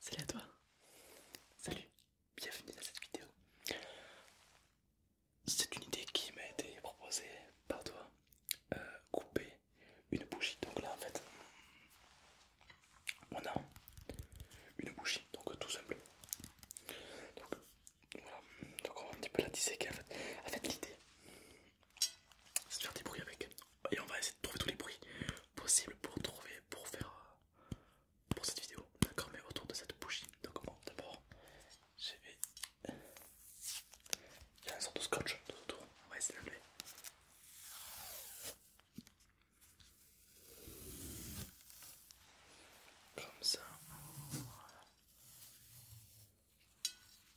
Salut à toi. Salut. Bienvenue dans cette vidéo. C'est une idée qui m'a été proposée par toi. Euh, couper une bougie. Donc là en fait, on a une bougie. Donc tout simple. Donc voilà. Donc on va un petit peu la disséquer en fait. En fait l'idée, c'est faire des bruits avec et on va essayer de trouver tous les bruits possibles pour trouver pour faire euh, pour cette vidéo d'accord mais autour de cette bougie donc bon, d'abord j'ai il y a une sorte de scotch tout autour on va essayer de l'enlever comme ça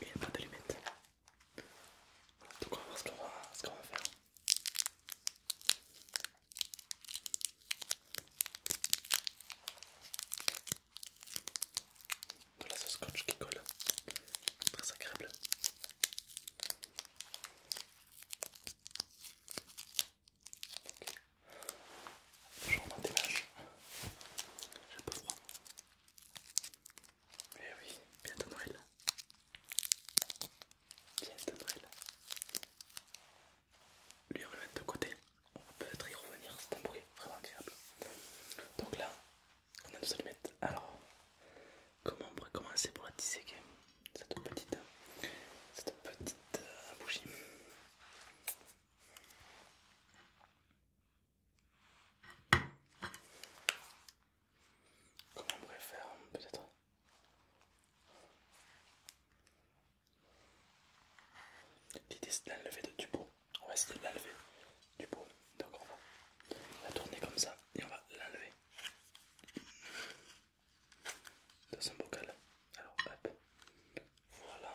mais il n'y a pas de limite. Donc on va voir ce qu'on va, va faire. De la scotch qui colle, très agréable. Okay. J'en des vaches, j'ai un peu froid oui eh oui, bientôt Noël. Bientôt Noël. Lui, on va le mettre de côté. On va peut-être y revenir, c'est un bruit vraiment agréable. Donc là, on a nos allumettes. Alors, comment on pourrait commencer pour la cette petite, cette petite euh, bougie Comment on pourrait faire peut-être L'idée c'est de l'enlever de du pot. On va essayer de l'enlever du pot. Donc on va la tourner comme ça et on va l'enlever dans son bocal. Alors hop, voilà.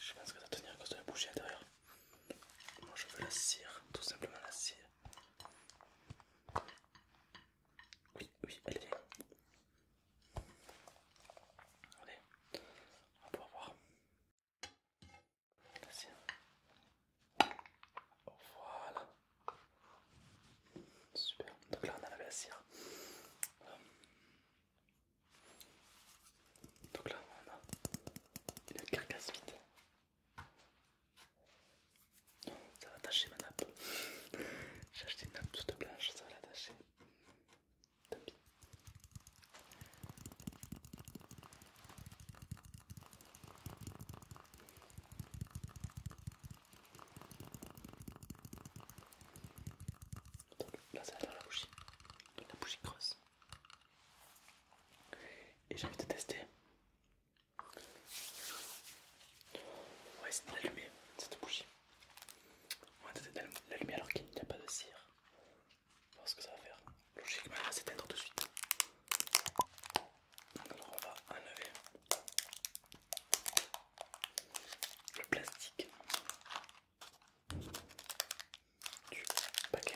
Je pense que ça tenir à cause de la bougie à l'intérieur. Moi je veux la cire, tout simplement la cire. Oui, oui, elle est bien. Allez, on va pouvoir voir. Voilà. Super. Donc là on a la la cire. Donc là on a une carcasse vide. Ça va attacher ma nappe. J'ai acheté une nappe toute blanche, ça va l'attacher. Tant pis. Donc là ça va faire la bougie, la bougie creuse. Et j'ai envie de tester. Ouais c'est essayer de l'allumer, cette bougie. On va tester d'allumer alors qu'il n'y a pas de cire. Voir ce que ça va faire logiquement c'est être tout de suite. Alors on va enlever le plastique du paquet.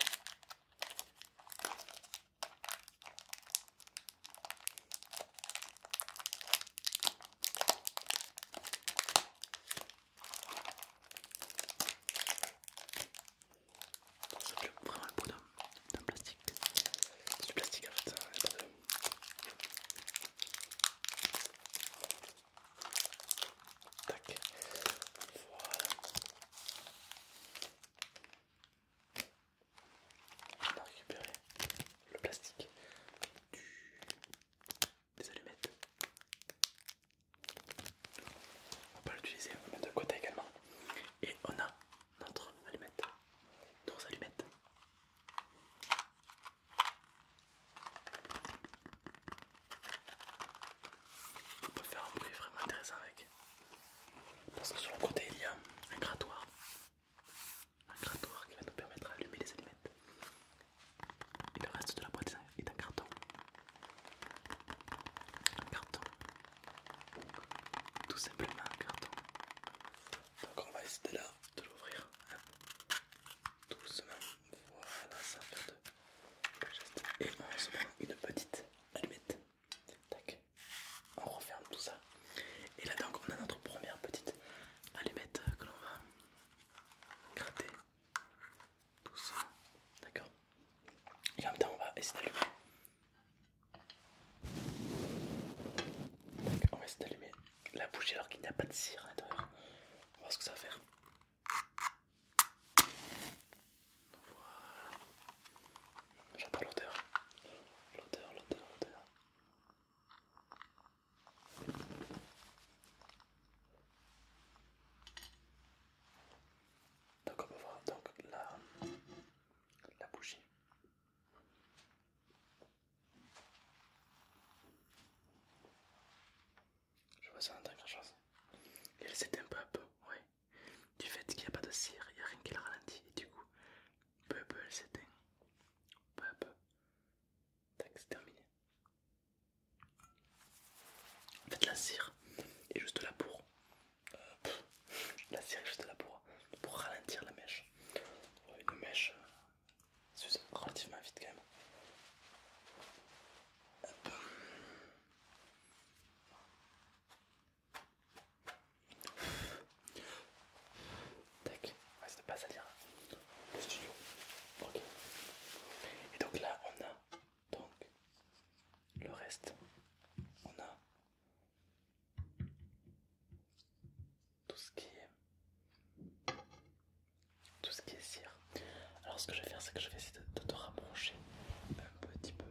Ça vraiment le bout d'un plastique. C'est du plastique en fait, Voilà. On a récupéré le plastique des allumettes. On va pas l'utiliser, on va mettre de côté également. Et on a notre allumette, nos allumettes. On peut faire un bruit vraiment intéressant avec. Parce que sur le côté il y a un grattoir. Un grattoir qui va nous permettre d'allumer les allumettes. Et le reste de la boîte est un carton. Un carton. Tout simplement un carton. Donc on va essayer de l'ouvrir. Tout hein. doucement. Voilà, ça fait deux. Et on se prend une petite allumette. On referme tout ça. Et là donc on a notre première petite allumette que l'on va gratter. doucement D'accord. Et en même temps on va essayer d'allumer on va essayer d'allumer la bougie alors qu'il n'y a pas de cire à l'intérieur. On va voir ce que ça va faire. Voilà. l'odeur. L'odeur, l'odeur, l'odeur. Donc on peut voir donc, la, la bougie. Je vois ça en tant chose. elle s'éteint peu à peu, oui. Du fait qu'il n'y a pas de cire, il n'y a rien qui la ralentit. Et du coup, peu à peu elle s'éteint. Peu à peu. Tac, c'est terminé. En fait la cire est juste la pour la série juste là pour, ralentir la mèche. Une mèche euh, s'use relativement vite quand même. Tac, on de pas salir le studio. Ok. Et donc là on a donc, le reste, on a tout ce qui est tout ce qui est cire. Alors, ce que je vais faire, c'est que je vais essayer de te rapprocher un petit peu.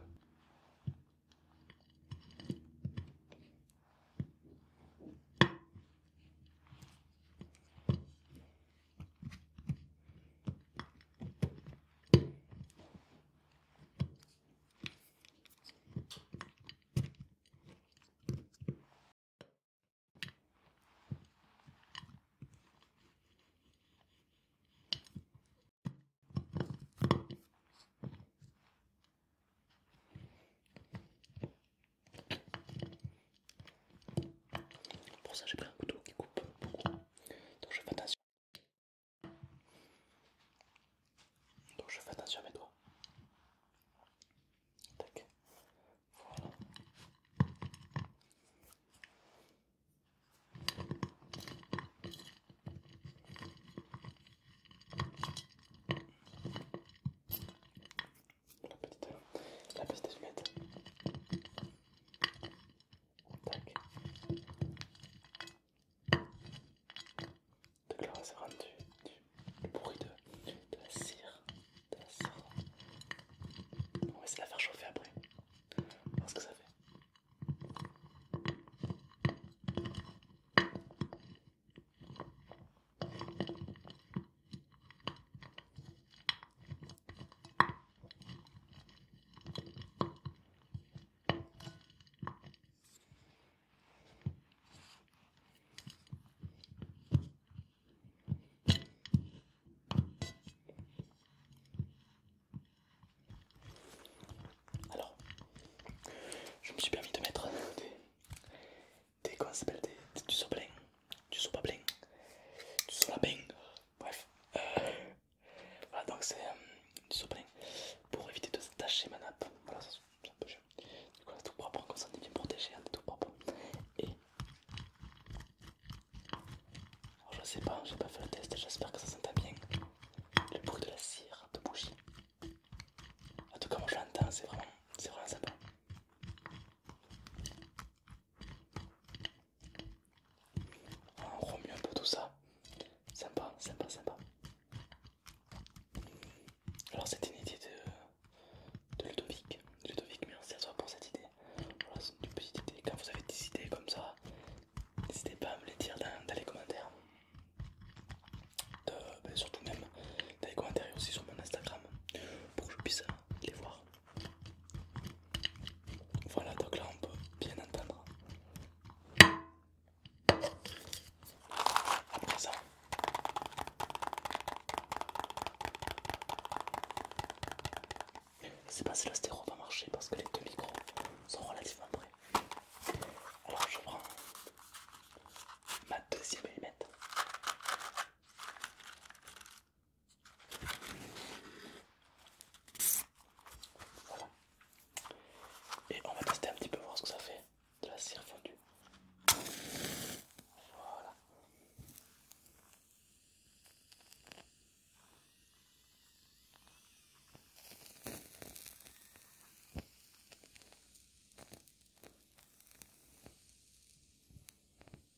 Pour ça j'ai pris un couteau qui coupe donc je fais attention. Donc je fais attention à mes doigts. Tac. Voilà. La petite, la petite de bruit de, la cire, de la cire. On va essayer de la faire chauffer après. ce que ça fait. Alors, je me suis permis de mettre des. des. quoi ça s'appelle des, Du sopalin, du tu du solapin, bref. Euh, voilà, donc c'est euh, du sopalin pour éviter de tacher ma nappe. Voilà, c'est un peu chiant. Du coup, c'est tout propre, ça est bien protégé, on est tout propre. Et. je sais pas, j'ai pas fait le test, j'espère que ça s'entend bien. Le bruit de la cire de bougie. En tout cas, moi je l'entends, c'est vraiment sympa. On remue un peu tout ça. Sympa, sympa, sympa. Alors c'est une idée de, Ludovic. Ludovic, merci à toi pour cette idée. c'est une petite idée. Quand vous avez des idées comme ça, n'hésitez pas à me les dire dans, les commentaires. Ben, surtout même dans les commentaires et aussi sur mon Instagram pour que je puisse les voir. Voilà, donc là on peut bien entendre. À ça, je sais pas si le va marcher parce que les deux micros sont relativement près. Alors je prends ma deuxième mm et on va tester un petit peu voir ce que ça fait de la cire fondue.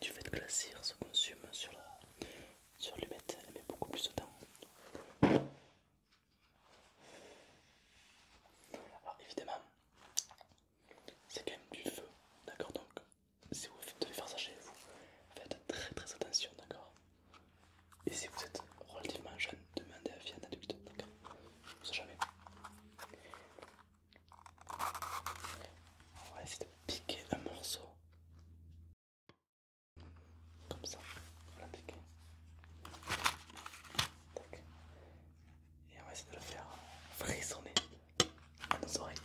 Du fait que la cire se consume sur la sur l'humette, elle met beaucoup plus de temps. Alors évidemment, c'est quand même du feu, d'accord Donc si vous devez faire ça chez vous, faites très très attention, d'accord Et si vous êtes relativement jeune, demandez à un adulte, d'accord ne sais jamais. On va essayer de piquer un morceau. Comme ça, on l'a piqué. Et on va essayer de le faire frissonner à nos oreilles.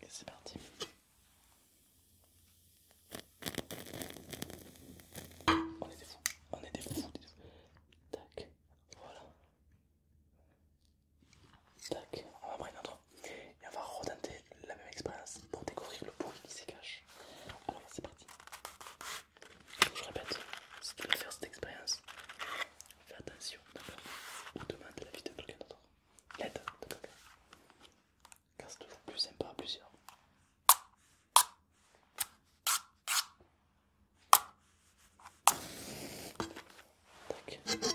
Et c'est parti. On est des fous, on est des fous, Tac, voilà. Tac, on va prendre un autre et on va redenter la même expérience pour découvrir le bruit qui se cache. Alors c'est parti. je répète, si tu veux faire cette expérience, fais attention d'accord ou la l'avis de quelqu'un d'autre. L'aide de quelqu'un. Car c'est toujours plus sympa à plusieurs. Tac.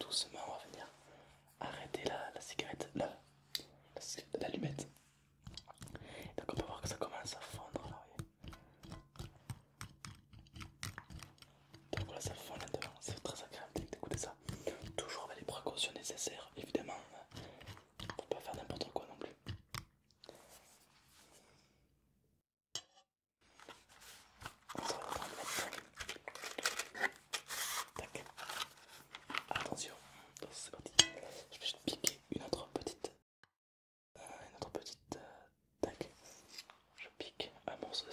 doucement, on va venir arrêter la, cigarette, l'allumette. Donc on peut voir que ça commence à fondre Donc voilà, ça fond là-dedans, c'est très agréable d'écouter ça. Toujours avec les précautions nécessaires, évidemment, hein, pour pas faire n'importe quoi non plus. Attention, c'est Je vais juste piquer une autre petite. Euh, une autre petite. Euh, tac. Je pique un morceau de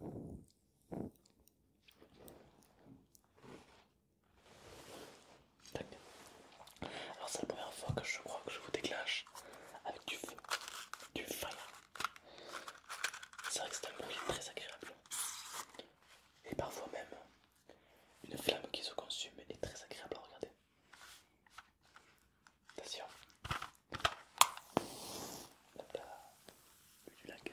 Alors c'est la première fois que je crois que je vous déclenche avec du feu, du feu C'est vrai que c'est un bruit très agréable. Et parfois même, une flamme qui se consume est très agréable à regarder. Attention. là. Du lac.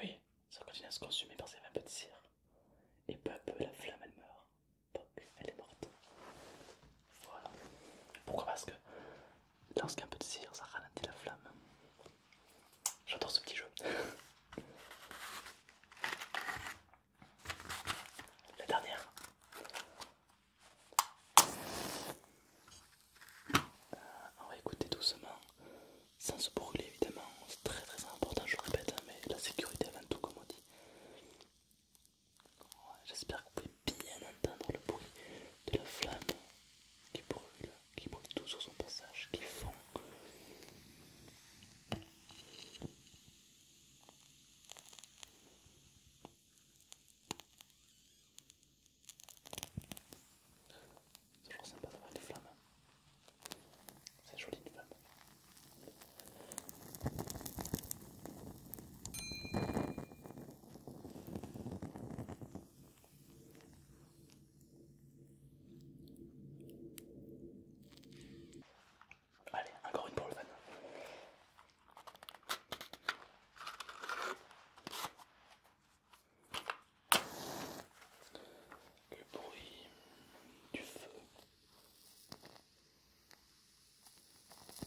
Oui, ça continue à se consumer par un peu de cire. Et peu à peu, la flamme elle meurt elle est morte. Voilà. Pourquoi Parce que lorsqu'il y a peu de cire, ça ralentit la flamme. J'adore ce petit jeu. La dernière. Euh, on va écouter doucement, sans se brûler évidemment, c'est très très important, je répète, hein, mais la sécurité avant tout comme on dit. J'espère que vous pouvez bien entendre le bruit de la flamme qui brûle, qui brûle tout sur son passage, qui fond. C'est toujours sympa d'avoir des flammes. C'est joli une flamme. Allez, encore une pour le fan. Le bruit du feu.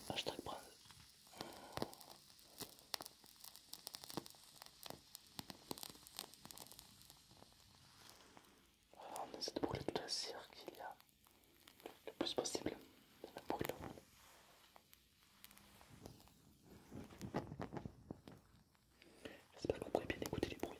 Hashtag brand. on essaie de brûler toute la cire qu'il y a le plus possible. La monde J'espère que vous pourrez bien écouter les bruits.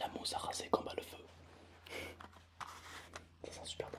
La mousse rasé comme à le feu. C'est sent super bon.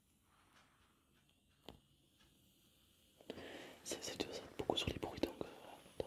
C'est toujours beaucoup sur les bruits donc euh, dans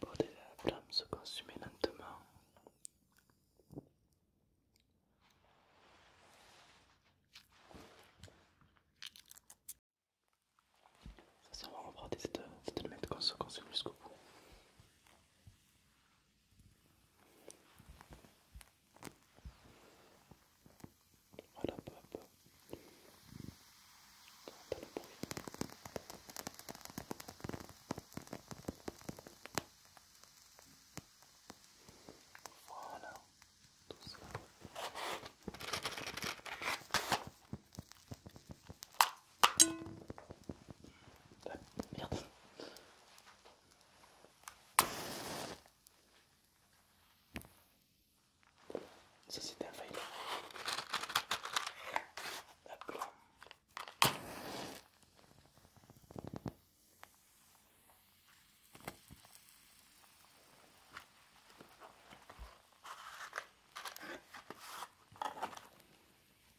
Pour de la flamme se consumer lentement. Ça, on va reprendre cette, cette allumette qu'on se consume jusqu'au bout. Voilà, peu le Voilà, tout ça. Ah, merde. c'était un fail.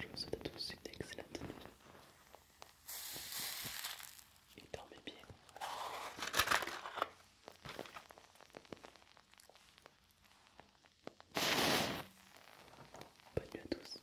Je vous souhaite à tous une excellente nuit. Et dormez bien. Bonne nuit à tous.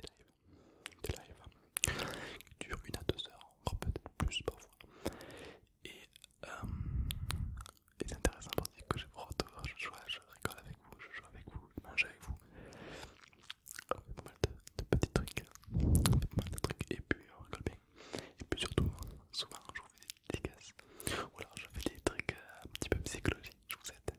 des lives, des lives qui durent une à deux heures, encore peut-être plus parfois. Et euh, c'est intéressant parce que je vous je joue, rigole avec vous, je joue avec vous, je mange avec vous. On fait pas mal de, petits trucs, et puis on rigole bien. Et puis surtout, souvent je vous fais des décaisses. Ou alors je fais des trucs euh, un petit peu psychologiques, je vous aide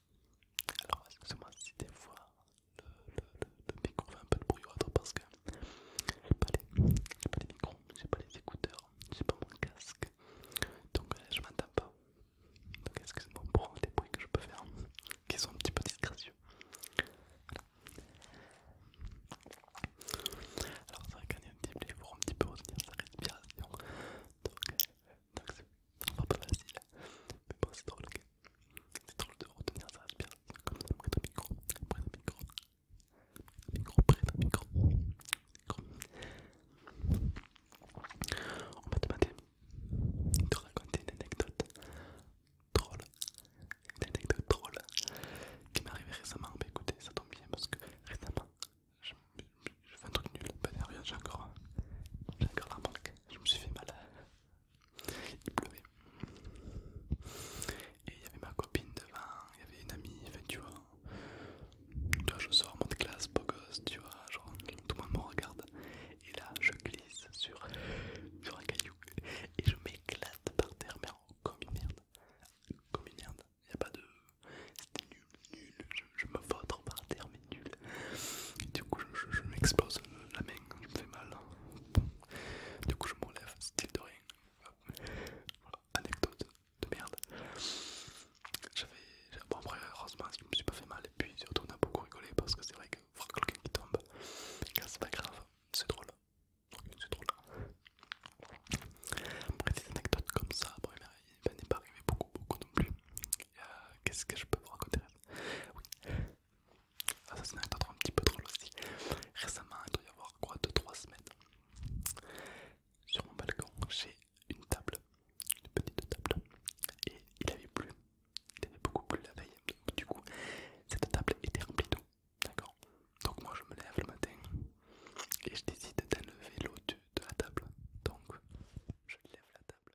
alors, excusez-moi si des fois le, micro fait un peu de bruit ou parce que j'ai pas, les micros, j'ai pas les écouteurs, j'ai pas mon casque donc euh, je m'entends pas. Donc, excusez-moi pour les bruits que je peux faire qui sont un petit peu disgracieux. Alors, ça va gagner un petit peu, faut un petit peu retenir sa respiration donc. c'est euh, donc c'est pas facile, mais bon c'est drôle, c'est drôle de retenir ça, c'est bien. Comme ça, près un micro, près un micro, micro, près ton micro, micro. On m'a demandé de raconter une anecdote drôle, une anecdote drôle qui m'est arrivée récemment. Bah écoutez, ça tombe bien parce que récemment, je, fais un truc nul, pas j'ai encore, encore la manque, Je me suis fait mal il pleuvait. Et il y avait ma copine devant, il y avait une amie, enfin, tu vois. je sors mon de classe, beau gosse, tu vois, genre tout le monde me regarde. Et là, je glisse sur, un caillou et je m'éclate par terre, mais comme une merde. Comme une merde, il n'y a pas de. C'était nul, nul, je, me vautre par terre, mais nul. Du coup, je, m'expose la main, je me fais mal. Du coup, je me relève, style de rien. Voilà, anecdote de merde. J'avais. Bon, après, heureusement, je me suis pas fait mal. Et puis, surtout, on a beaucoup rigolé parce que c'est vrai que voir quelqu'un qui tombe, c'est pas grave, c'est drôle. C'est drôle. Après, des anecdotes comme ça, bon, il n'est pas arrivé beaucoup, beaucoup non plus. Euh, qu'est-ce que je peux vous raconter Oui ça c'est un petit peu drôle aussi. Récemment, il doit y avoir quoi 2-3 semaines. Sur mon balcon, j'ai une table, une petite table, et il avait plu. Il avait beaucoup plu la veille. du coup, cette table était remplie d'eau. D'accord Donc, moi, je me lève le matin et je décide d'enlever l'eau de la table. Donc, je lève la table.